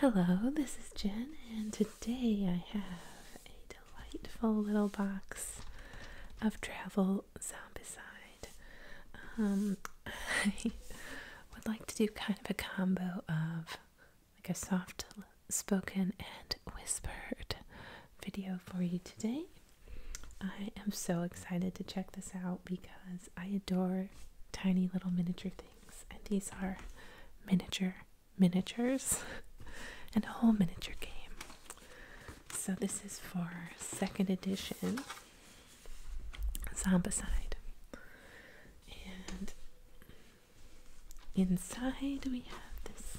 Hello, this is Jen, and today I have a delightful little box of travel zombicide. Um, I would like to do kind of a combo of like a soft spoken and whispered video for you today. I am so excited to check this out because I adore tiny little miniature things. And these are miniature miniatures and a whole miniature game. So this is for second edition Zombicide. And inside we have this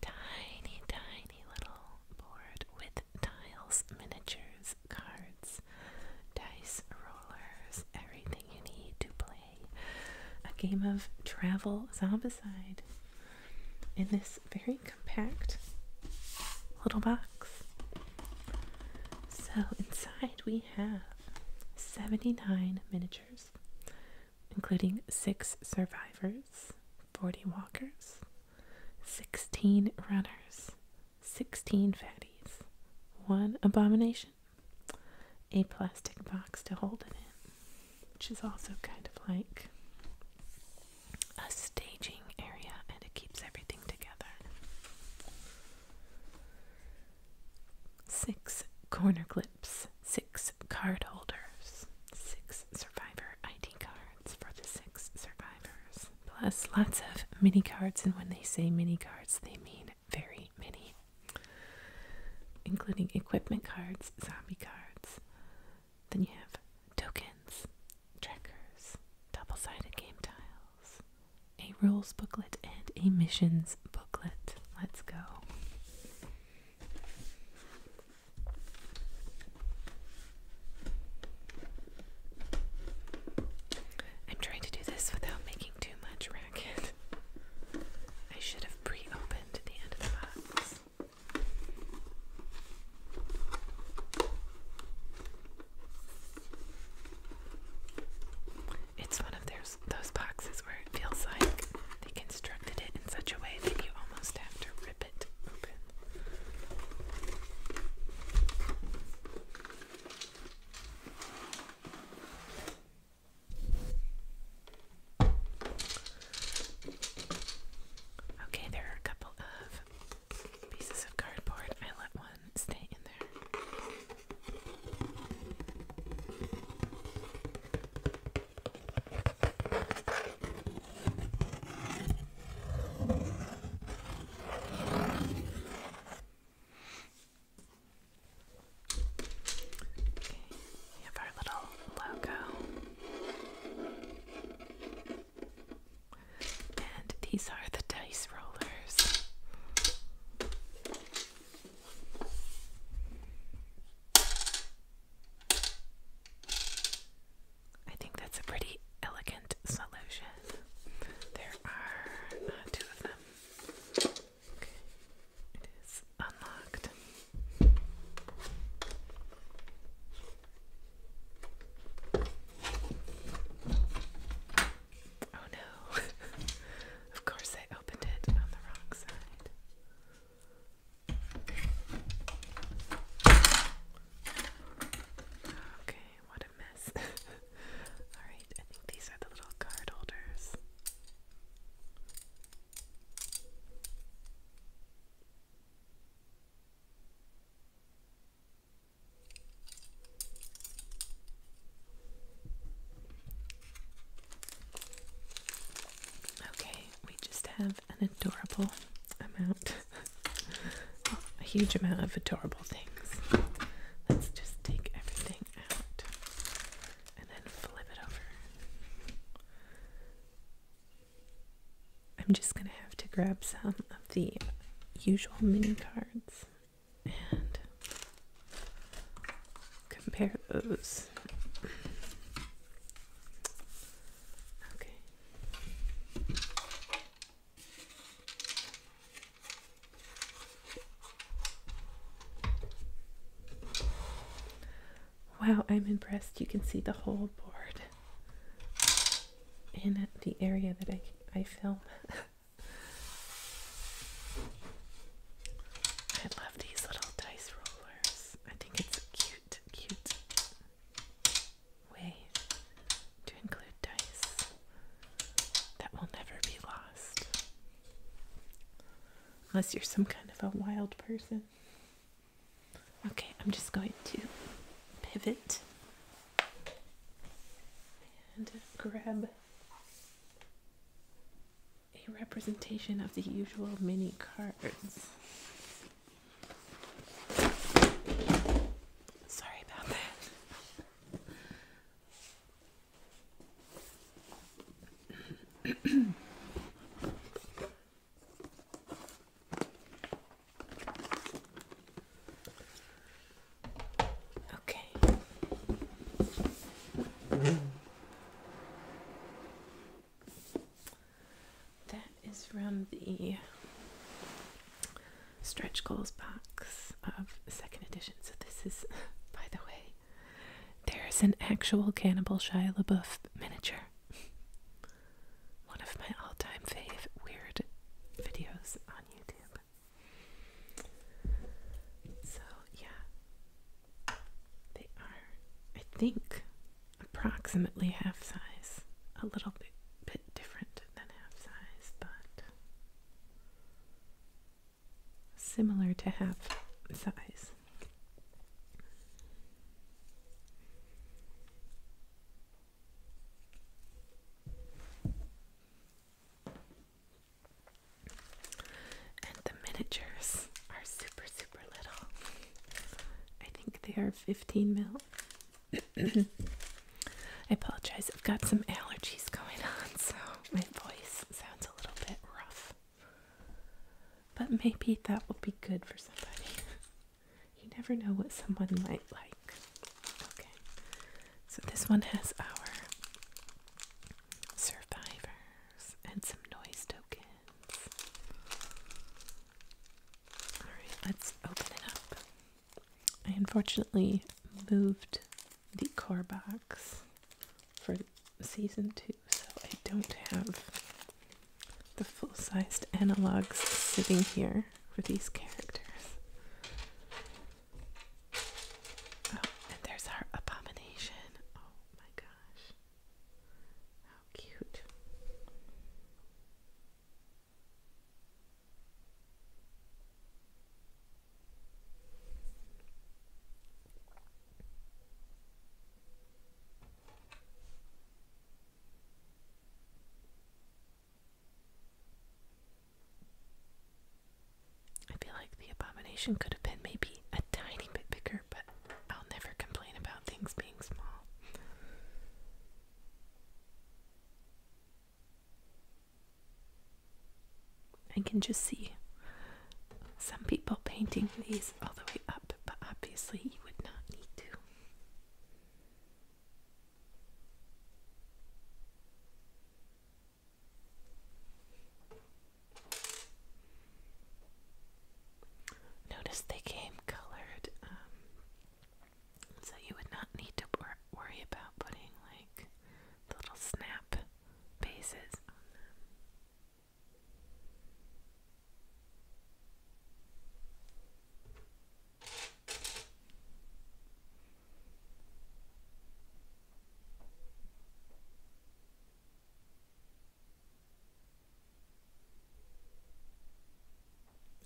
tiny, tiny little board with tiles, miniatures, cards, dice rollers, everything you need to play a game of travel zombicide in this very compact little box. So inside we have 79 miniatures, including six survivors, 40 walkers, 16 runners, 16 fatties, one abomination, a plastic box to hold it in, which is also kind of like a staging area and it keeps everything together. Six corner clips, six card holders, six survivor ID cards for the six survivors, plus lots of mini cards. And when they say mini cards, they mean very many, including equipment cards, zombie cards. Then you have tokens, trackers, double sided game tiles, a rules booklet, and a missions booklet. Let's go. I'm trying to do this without making too much racket. I should have pre opened the end of the box. It's one of those boxes where it feels like they constructed it in such a way that you almost have to rip it open. Okay, there are a couple of pieces of cardboard. I let one stay in there we have our little logo. And these are the dice rollers. I think that's a pretty elegant solution. There are uh, two of them it is unlocked. Oh no, of course I opened it on the wrong side. Okay what a mess. Alright, I think these are the little card holders. Okay, we just have an adorable amount, a huge amount of adorable Let's just take everything out and then flip it over. I'm just gonna have to grab some of the usual mini cards and compare those. Okay. Wow, I'm impressed. You can see the whole board in the area that I, I film. I love these little dice rollers. I think it's a cute, cute way to include dice that will never be lost. Unless you're some kind of a wild person. Okay, I'm just going to pivot and grab a representation of the usual mini cards. Sorry about that okay. That is from the stretch goals box of second edition. So this is, by the way, there's an actual Cannibal Shia LaBeouf miniature. One of my all-time fave weird videos on YouTube. So yeah, they are, I think, approximately half size. A little bit, bit different than half size, but similar to half size. And the miniatures are super, super little. I think they are 15 mil. I apologize, I've got some allergies going on, so my voice sounds a little bit rough. But maybe that will be good for somebody. you never know what someone might like. Okay, so this one has our survivors and some noise tokens. let's open it up. I unfortunately moved the core box for season two, so I don't have the full sized analogs sitting here for these characters. Oh, and there's our abomination. Oh my gosh. How cute. I feel like the abomination could have been maybe a tiny bit bigger, but I'll never complain about things being small. I can just see some people painting these all the way up, but obviously you would not need to. Notice they came colored, um, so you would not need to worry about putting like the little snap bases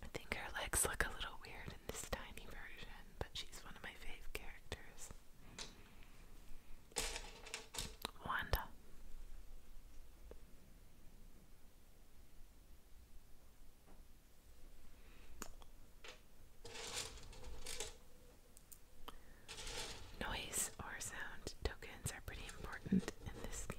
I think her legs look a little weird in this tiny version but she's one of my fave characters. Wanda. Noise or sound tokens are pretty important in this game.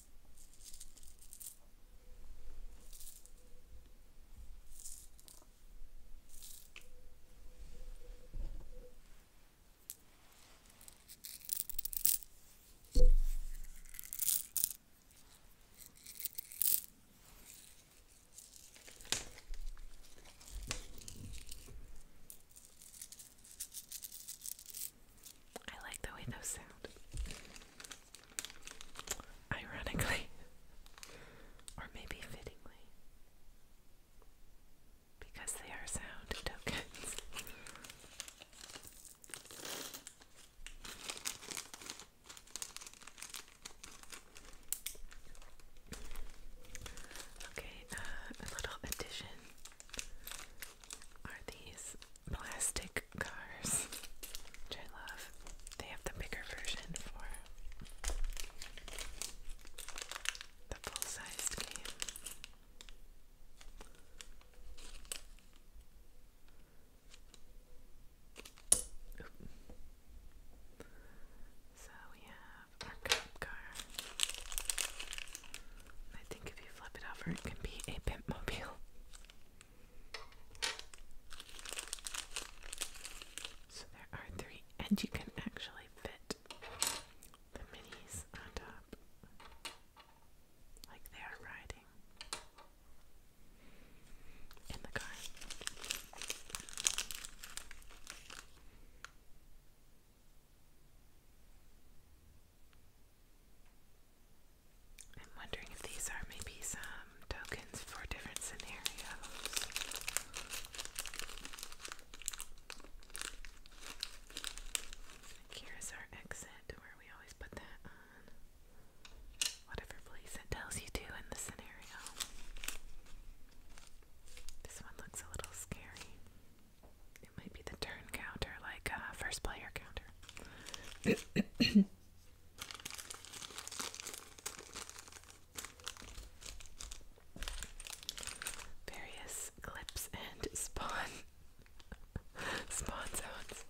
I like the way those sound. Ironically, or maybe fittingly, because they are sound tokens. Okay, uh, a little addition are these plastic cars, I love. They have the bigger version for the full sized game. So we have our car. I think if you flip it over, it can be a pimp so there are three, and you can actually fit the minis on top like they are riding in the car. I'm wondering if these are maybe some tokens for different scenarios. here's our exit where we always put that on whatever place it tells you to in the scenario. This one looks a little scary. It might be the turn counter, like uh, first player counter. Various clips and spawn spawn sounds.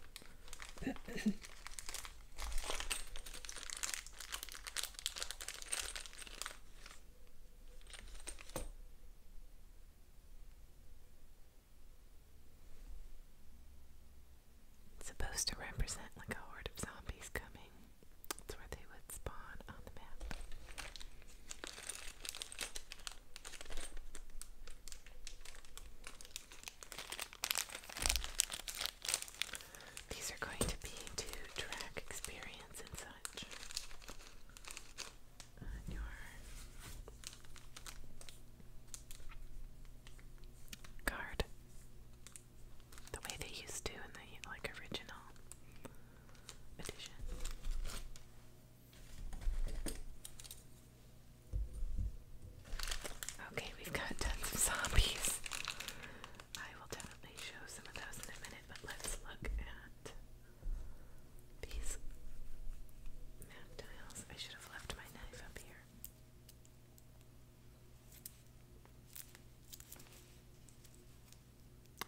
It's supposed to represent like a horde of zombies coming. It's where they would spawn on the map. These are going to be to track experience and such uh, card the way they used to in the like original edition. Okay, we've got tons of zombies. I will definitely show some of those in a minute, but let's look at these map tiles. I should have left my knife up here.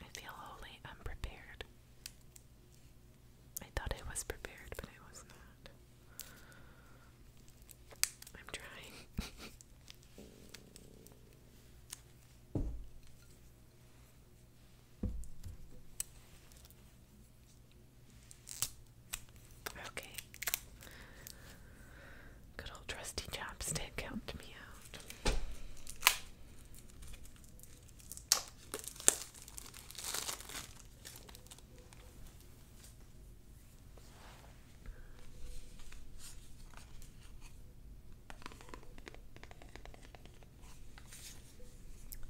I feel wholly unprepared. I thought I was prepared, but I was not. I'm trying. Okay. Good old trusty chapstick helped me out.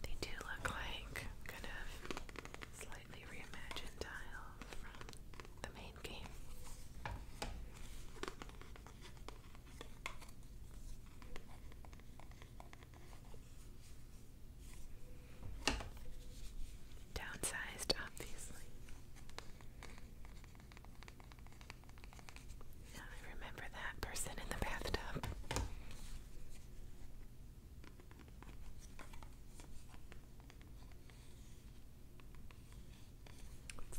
They do look like kind of the main game. Downsized, obviously. I remember that person in the bathtub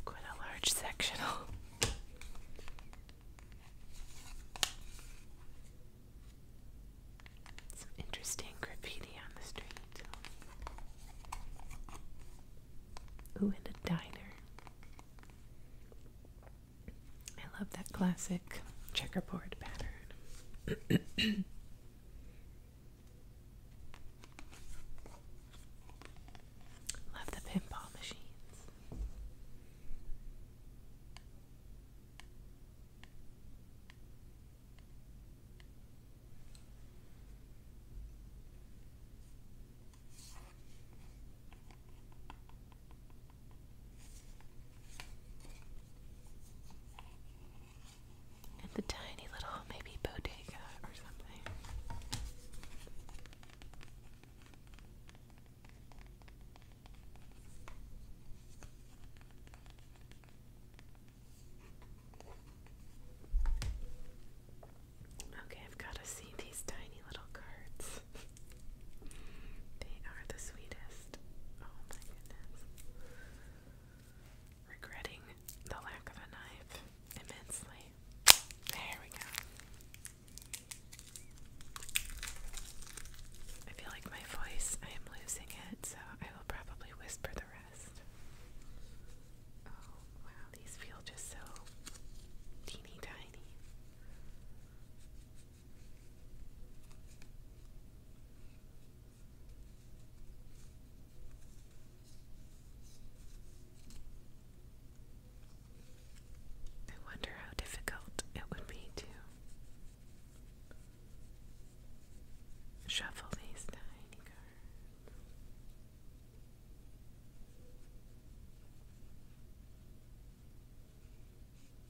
quite a large sectional. Some interesting graffiti on the street. Ooh, and a diner. I love that classic checkerboard pattern. Love the pinball machines. At the tiny little maybe bodega or something. Okay, I've got to see these tiny little cards. They are the sweetest. Oh my goodness. Regretting the lack of a knife immensely. There we go. I feel like my voice, I am losing it, so I will probably whisper the rest. Oh, wow, these feel just so teeny tiny. I wonder how difficult it would be to shuffle these tiny cards.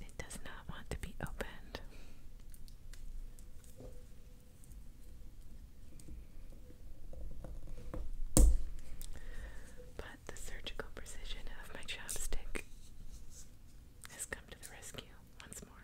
It does not want to be opened. But the surgical precision of my chopstick has come to the rescue once more.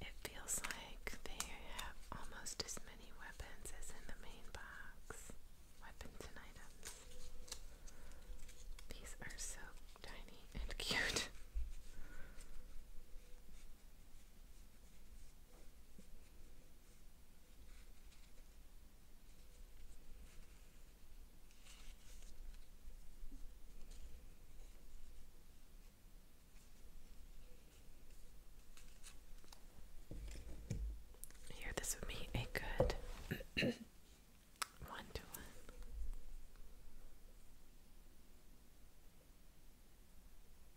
It feels like they have almost as many weapons as in the main box. Weapons and items. These are so tiny and cute. Here, this would be a good one to one.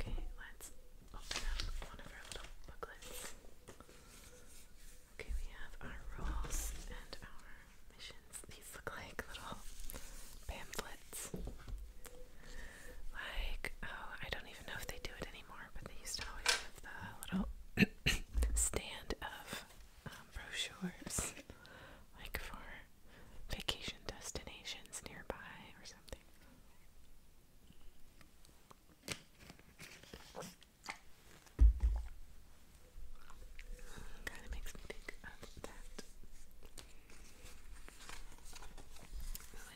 Okay, let's open up one of our little booklets. Okay, we have our rules and our missions. These look like little pamphlets. Like, oh, I don't even know if they do it anymore, but they used to always have the little stand of um, brochures, like for vacation destinations nearby or something. Kind of makes me think that.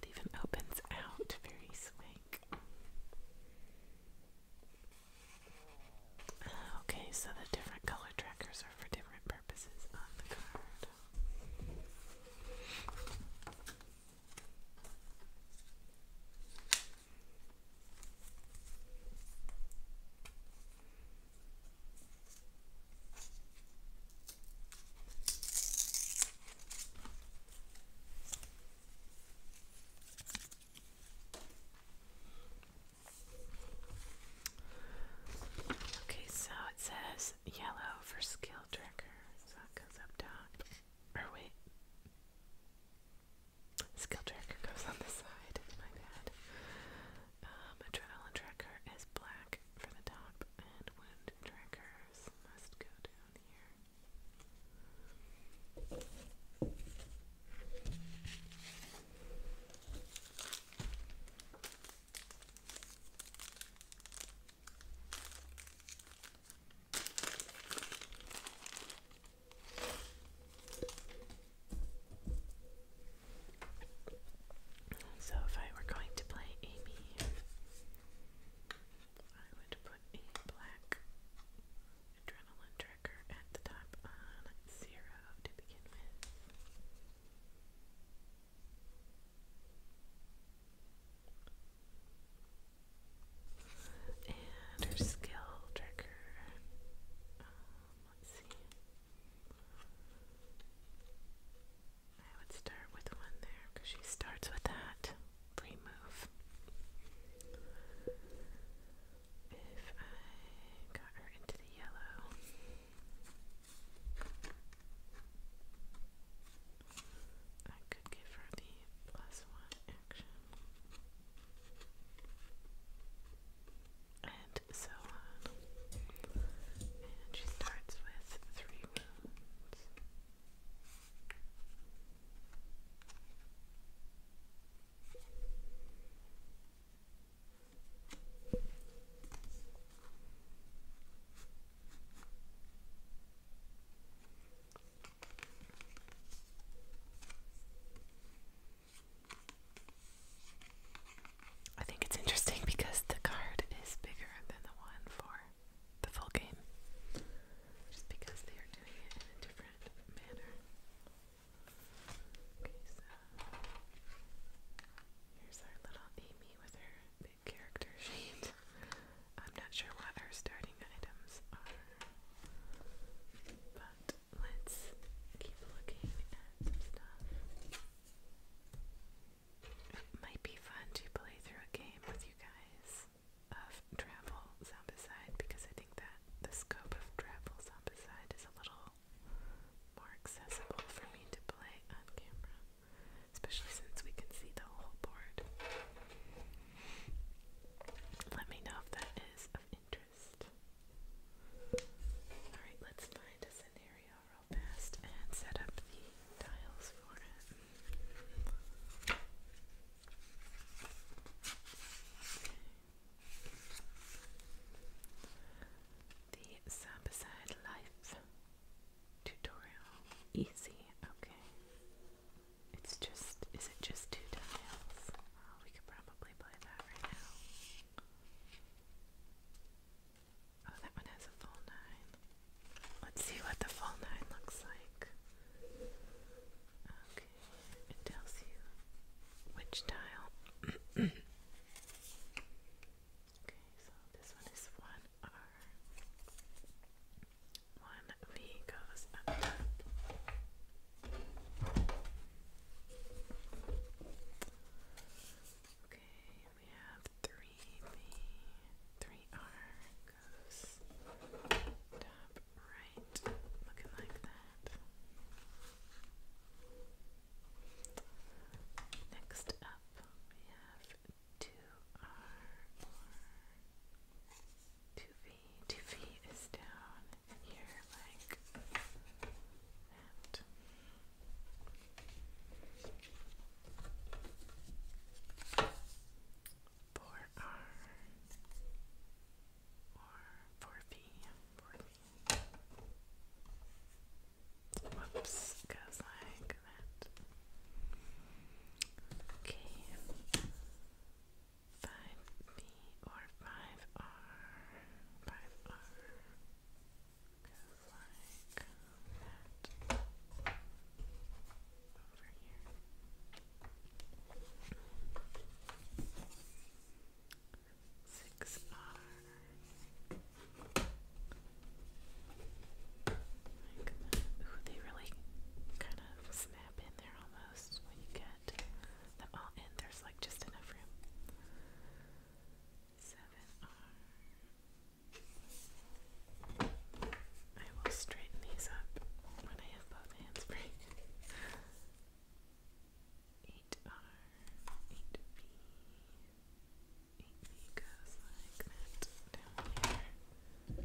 it even opens out very swank. Okay, so the different color trackers are for different purposes on the card. Okay, so it says yellow for skill tracker, so it goes up top. Or wait. Skill tracker goes on the side, my bad. Um, adrenaline tracker is black for the top, and wound trackers must go down here. So, if I were going to play Amy, I would put a black adrenaline trigger at the top on zero to begin with. And her skill trigger. Um, let's see. I would start with one there because she starts with that free If I got her into the yellow, I could give her the plus one action. And so on. And she starts with three wounds. I think it's interesting because the card is bigger than the one for the full game, just because they are doing it in a different manner. Okay, so here's our little Amy with her character sheet. I'm not sure what our starting items are, but let's keep looking at stuff. It might be fun to play through a game with you guys of Travel Zombicide because I think that the scope of Travel Zombicide is a little more accessible for me to play on camera especially since we can see the whole board. Let me know if that is of interest. Alright, let's find a scenario real fast and set up the tiles for it. The Sambaside Life Tutorial. Easy. Okay. It's just, is it just two tiles? Oh, we could probably play that right now. Oh, that one has a full nine. Let's see what the full nine looks like. Okay, it tells you which tile Okay, so this one is one R. One V goes up Okay, we have three V, three R goes top right, looking like that. Next up, we have 2R or 2V. 2V is down here like that. Four R or four V, four V. Whoops, goes like that. Okay. 5B or 5R. 5R goes like that. Over here. Six R like Ooh, they really kind of snap in there almost when you get them all in. There's like just enough room. Seven R. I will straighten these up when I have both hands free. 8R, 8B, it goes like that down here.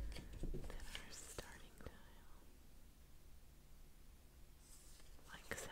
Then our starting tile. Like so.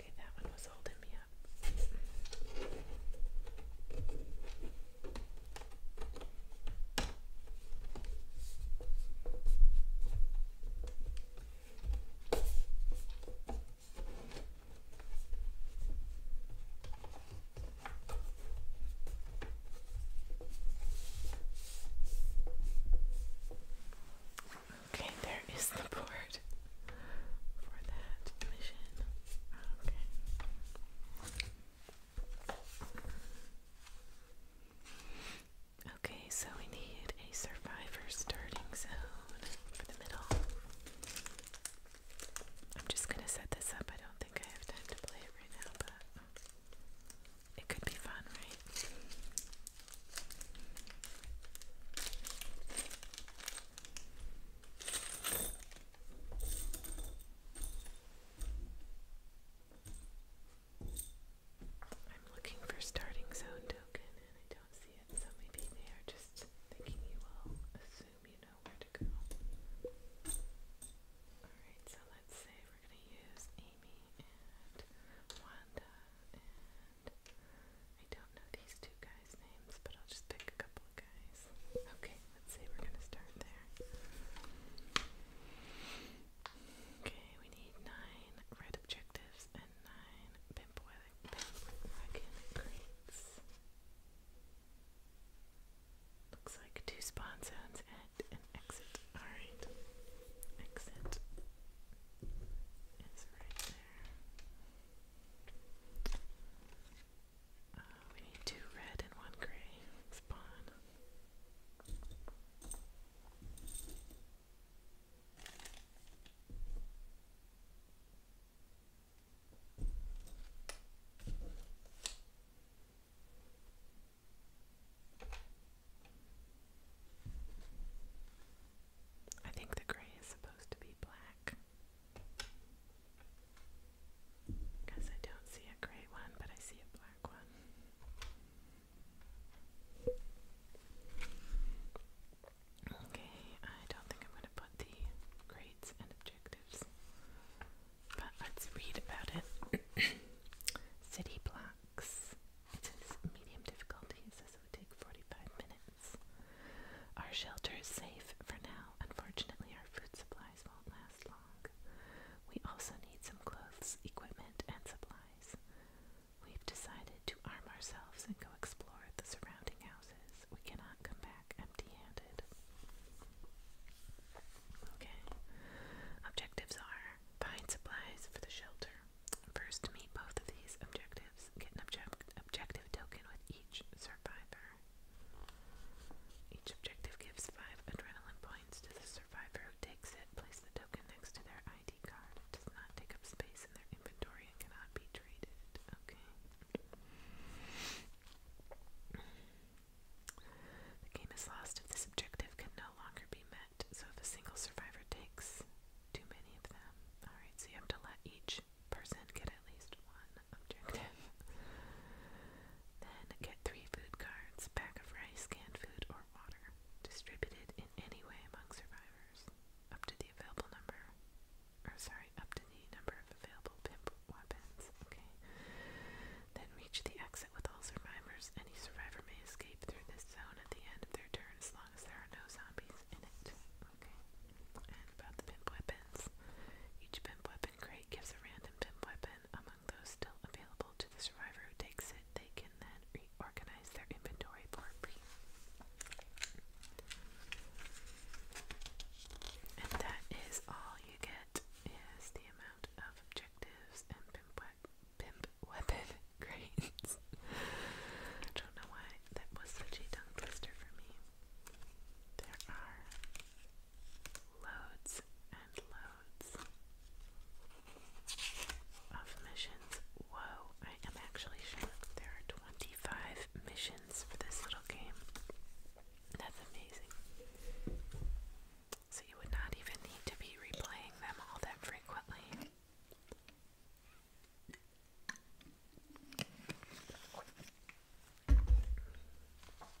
Okay, that one was holding me up. Okay, there is the board. Okay. Okay, so we need a survivor starting zone for the middle. I'm just gonna set this up. I don't think I have time to play it right now, but it could be fun, right? I'm looking for starting zone token and I don't see it, so maybe they are just thinking you will assume you know where to go. Alright, so let's say we're going to use Amy and Wanda I don't know these two guys' names, but I'll just pick a couple of guys. Okay, let's see, we're gonna start there. Okay, we need nine red objectives and nine pimp wagon crates. Looks like two spawn zones at an exit. Alright. Exit is right there we need two red and one gray spawn. I think the gray is supposed to be black. Because I don't see a gray one, but I see a black one. Okay, I don't think I'm going to put the grades and objectives, but let's read about it. City blocks. It says medium difficulty, it says it would take 45 minutes. Our shelter is safe for now. Unfortunately, our food supplies won't last long. We also need some clothes, equipment, and supplies. We've decided to arm ourselves and go explore the surrounding houses. We cannot come back empty handed. Okay. Objectives are find supplies for the shelter. First, meet both of these objectives. Get an object objective token with each survivor. Each objective gives five adrenaline points to the survivor who takes it. Place the token next to their ID card. does not take up space in their inventory and cannot be traded. Okay. The game is lost if this objective can no longer be met. So if a single survivor takes too many of them. Alright, so you have to let each each person get at least one objective. then get three food cards, pack of rice, canned food, or water, distributed in any way among survivors, up to the available number, or sorry, up to the number of available pimp weapons. Okay. Then reach the exit with all survivors. Any survivor may escape through this zone at the end of their turn as long as there are no zombies in it. Okay. And about the pimp weapons. Each pimp weapon crate gives a random pimp weapon. Among those still available to the survivor who takes it, they can then reorganize their inventory for free. And that is all you get is the amount of objectives and pimp, we pimp weapon grades. I don't know why that was such a tongue twister for me. There are loads and loads of missions. Whoa, I am actually shocked. There are 25 missions for this little game. That's amazing. So you would not even need to be replaying them all that frequently.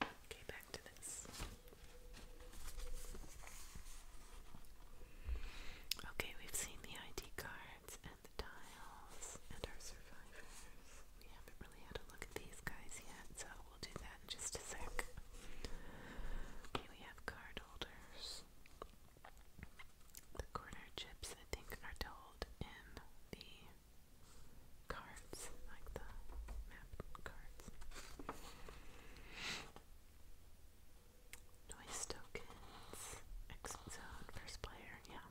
Okay, back to this. Okay, we've seen the ID cards and the tiles and our survivors. We haven't really had a look at these guys yet, so we'll do that in just a sec. Okay, we have card holders corner chips, I think, are told in the cards, like the map cards. Noise tokens, exit first player, yeah.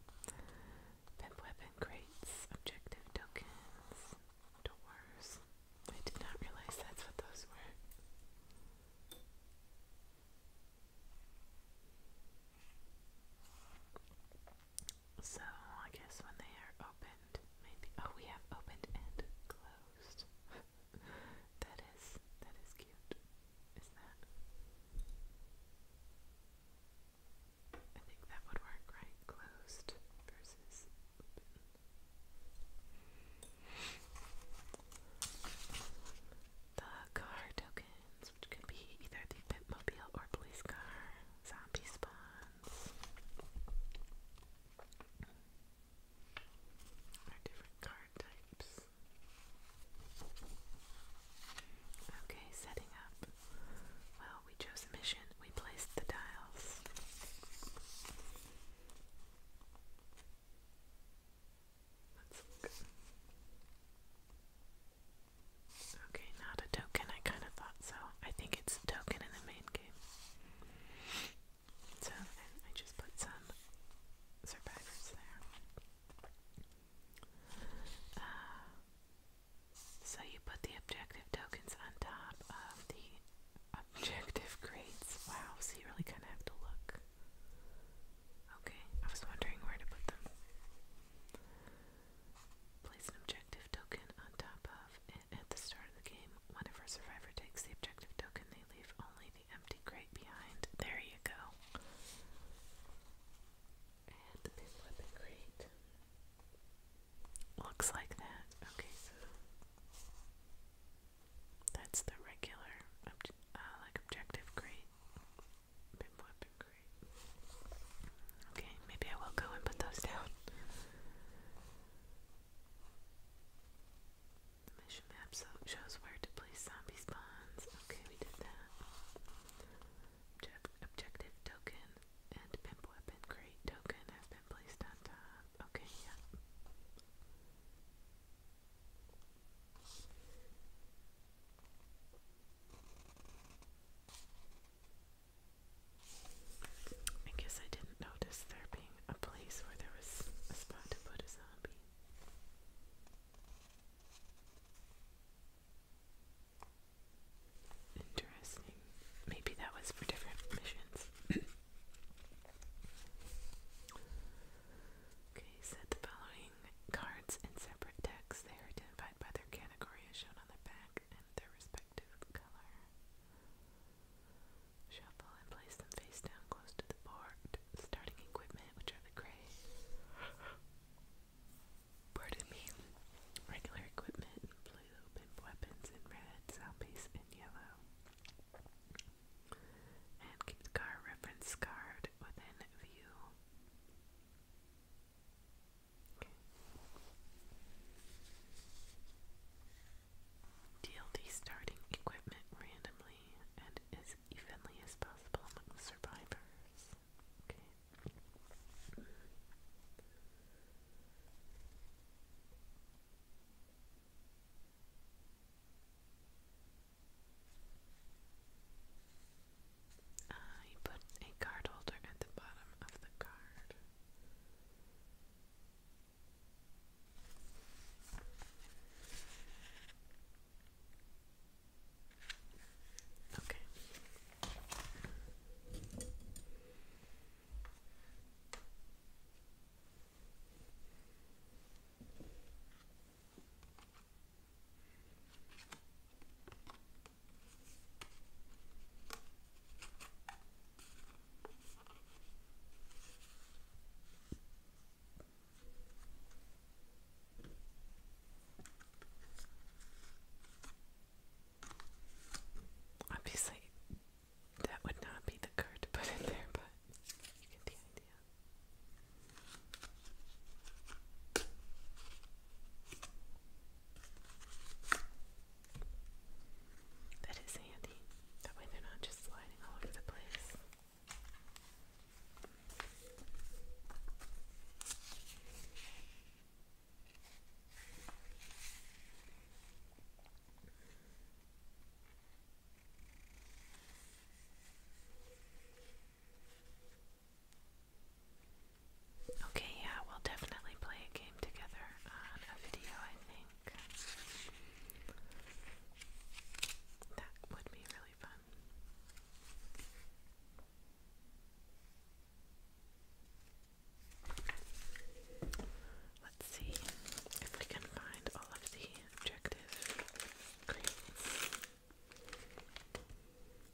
Pimp weapon crates, objective tokens, doors. I did not realize that's what those were. So I guess when they are opened, maybe oh we have opened and closed. that is that is cute. Is that? I think that would work, right? Closed versus open. The card which could be either the Bitmobile or police car, zombie spawns, or different card types. Okay, setting up. Well, we chose mission, we placed the tiles. Okay, not a token. I kind of thought so. I think it's a token in the main game. So I just put some survivors there. Uh, so you put the objective tokens on top of the objective grades. Wow, so you really kind of have to look. Okay, I was wondering where to put them. Place an objective token on top of it at the start of the game. Whenever a survivor takes the objective token, they leave only the empty crate behind. There you go. And the big crate. Looks like that. Okay, so that's the regular, uh, like objective crate. A bit more Okay, maybe I will go and put those down. mission map shows where to place zombie spawns. Okay, we did that. objective token and pimp weapon crate token have been placed on top. Okay, yeah. I guess I didn't notice there being a place where there was a spot to put a zombie. Interesting. Maybe that was for different missions. Okay, set the following cards in separate decks. They are identified by their category as shown on the back and their respective color. Shuffle and place them face down close to the board. Starting equipment, which are the gray. Pardon me. Regular equipment, blue, open weapons in red, soundpiece in yellow. And keep the car reference card within view. DLD starting equipment randomly and as evenly as possible among the survivors. I uh, put a card holder at the bottom of the card. Okay. Obviously, that would not be the card to put in there, but you get the idea. That is handy. That way they're not just sliding all over the place. Okay, yeah, we'll definitely play a game together on a video, I think. That would be really fun. Let's see if we can find all of the objective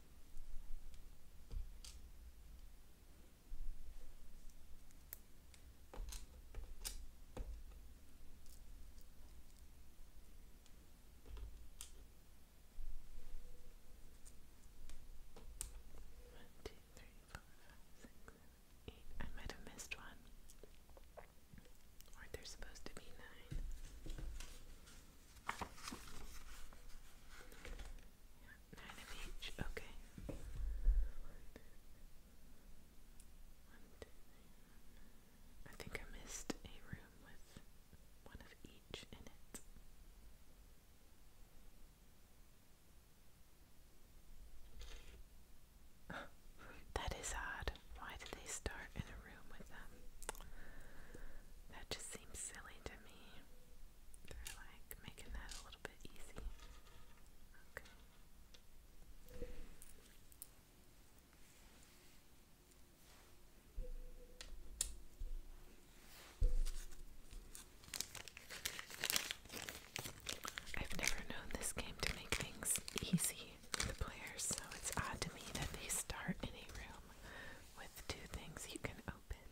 One, two, three, four, five, six, seven, eight. I might have missed one. Aren't there supposed to be nine? Nine of each, okay. One, one, two, three. I think I missed a room with one of each in it. that is odd. Why did they start in a room with them? That just seems silly to me. They're like making that a little bit easy. Okay. I've never known this game to make things easy for the players, so it's odd to me that they start in a room with two things you can open.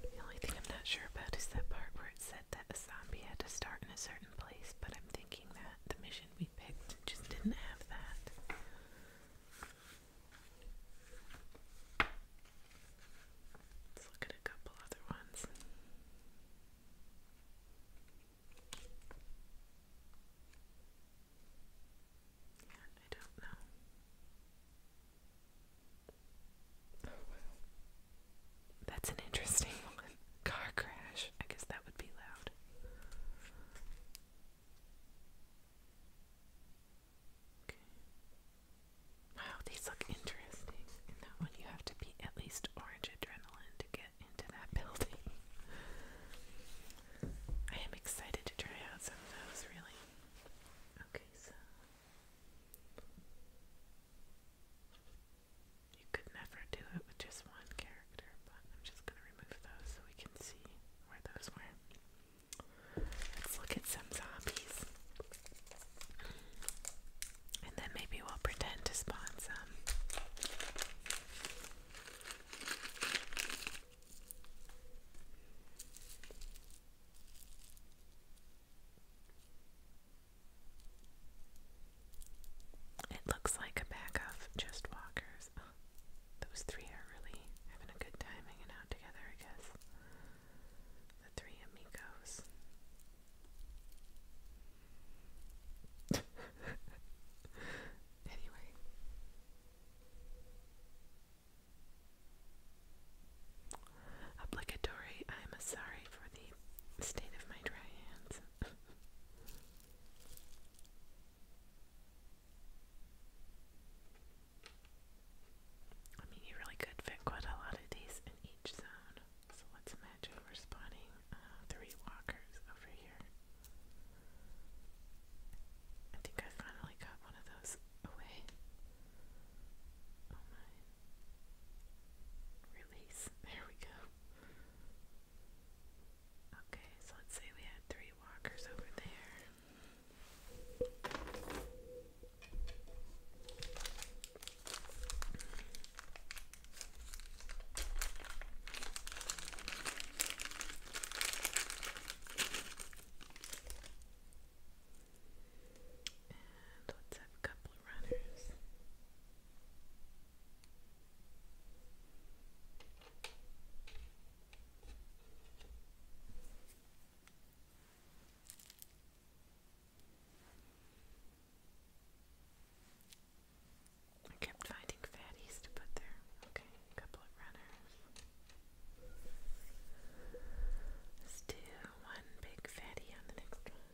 The only thing I'm not sure about is that part where it said that a zombie had to start in a certain place, but I'm thinking that the mission we picked just didn't have that. Let's look at a couple other ones. Yeah, I don't know. That's an interesting one. Car crash. I guess that would be loud. Okay. Wow, these look interesting. In that one, you have to be at least orange adrenaline to get into that building. I am excited to try out some of those, really. Okay, so you could never do it with just one character, but I'm just going to remove those so we can see where those were. Let's look at some zombies. And then maybe we'll pretend to spawn some. It looks like a pack of just walkers. those three are really having a good time hanging out together, I guess. The three amigos. anyway. Obligatory, I'm sorry for the state of my dry hands. I mean, you really could fit quite a lot of these in each zone. So let's imagine we're spawning uh, three walkers over here. I think I finally got one of those away. Oh my. Release. There we go. Okay, so let's say we had three walkers over there. And let's have a couple of runners. I kept finding fatties to put there. Okay, a couple of runners. Let's do one big fatty on the next one.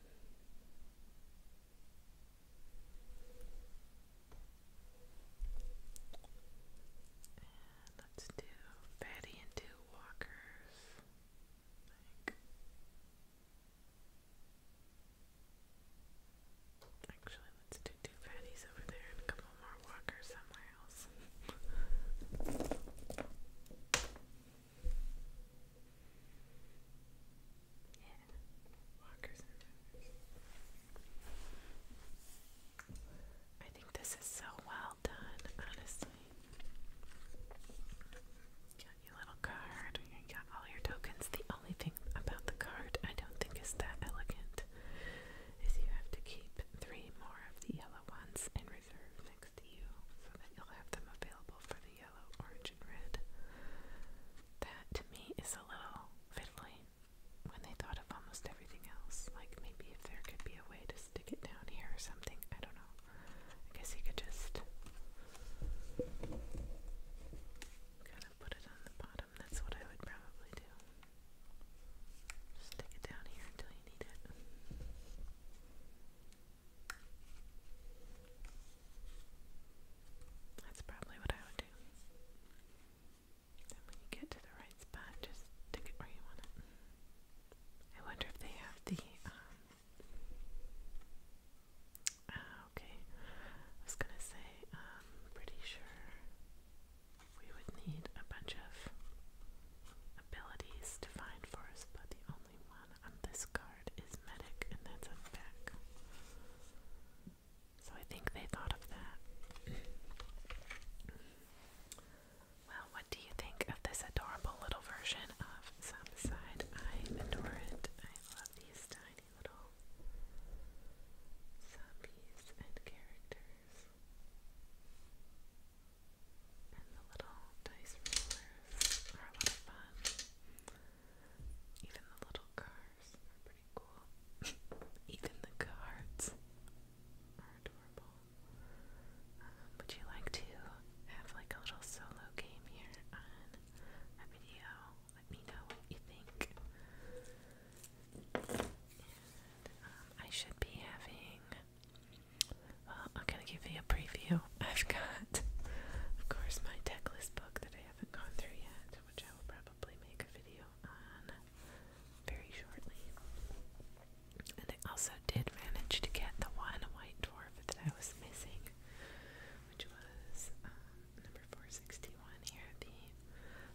And let's do fatty and two walkers. actually, let's do two fatties over there and a couple more walkers somewhere else. Yeah. I think this is so well done, honestly. Got your little card, you got all your tokens. The only thing about the card I don't think is that elegant is you have to keep three more of the yellow ones and next to you so that you'll have them available for the yellow, orange, and red. That to me is a little fiddly when they thought of almost everything else. Like maybe if there could be a way to stick it down here or something, I don't know. I guess you could just kind of put it on the bottom. That's what I would probably do. Stick it down here until you need it. That's probably what I would do. And when you get to the right spot, just stick it where you want it. I wonder if they have the, um, ah, okay, I was gonna say, um, pretty sure we would need a bunch of abilities to find for but the only one on this card is medic, and that's a back. So I think they thought of that. well, what do you think of this adorable little version of Suicide? I adore it. I love these tiny little zombies and characters. And the little dice rollers are a lot of fun. Even the little cars are pretty cool. Even the cards are adorable. Um, would you like to have like a little solo game here on a video? Let me know what you think. Um, I should be having I'm gonna give you a preview. I've got, of course, my deck list book that I haven't gone through yet, which I will probably make a video on very shortly. And I also did manage to get the one white dwarf that I was missing, which was um, number 461 here, the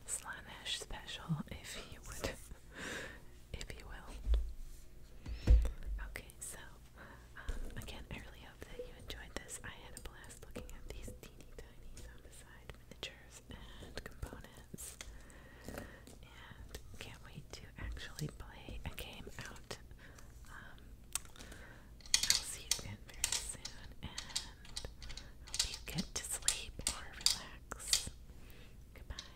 Slanesh special. If you would if you will. Okay, so um, again, I really hope that you enjoyed this. I had a blast looking at these teeny tiny zombicide miniatures and components, and can't wait to actually play a game out. Um, I'll see you very soon, and hope you get to sleep or relax. Goodbye.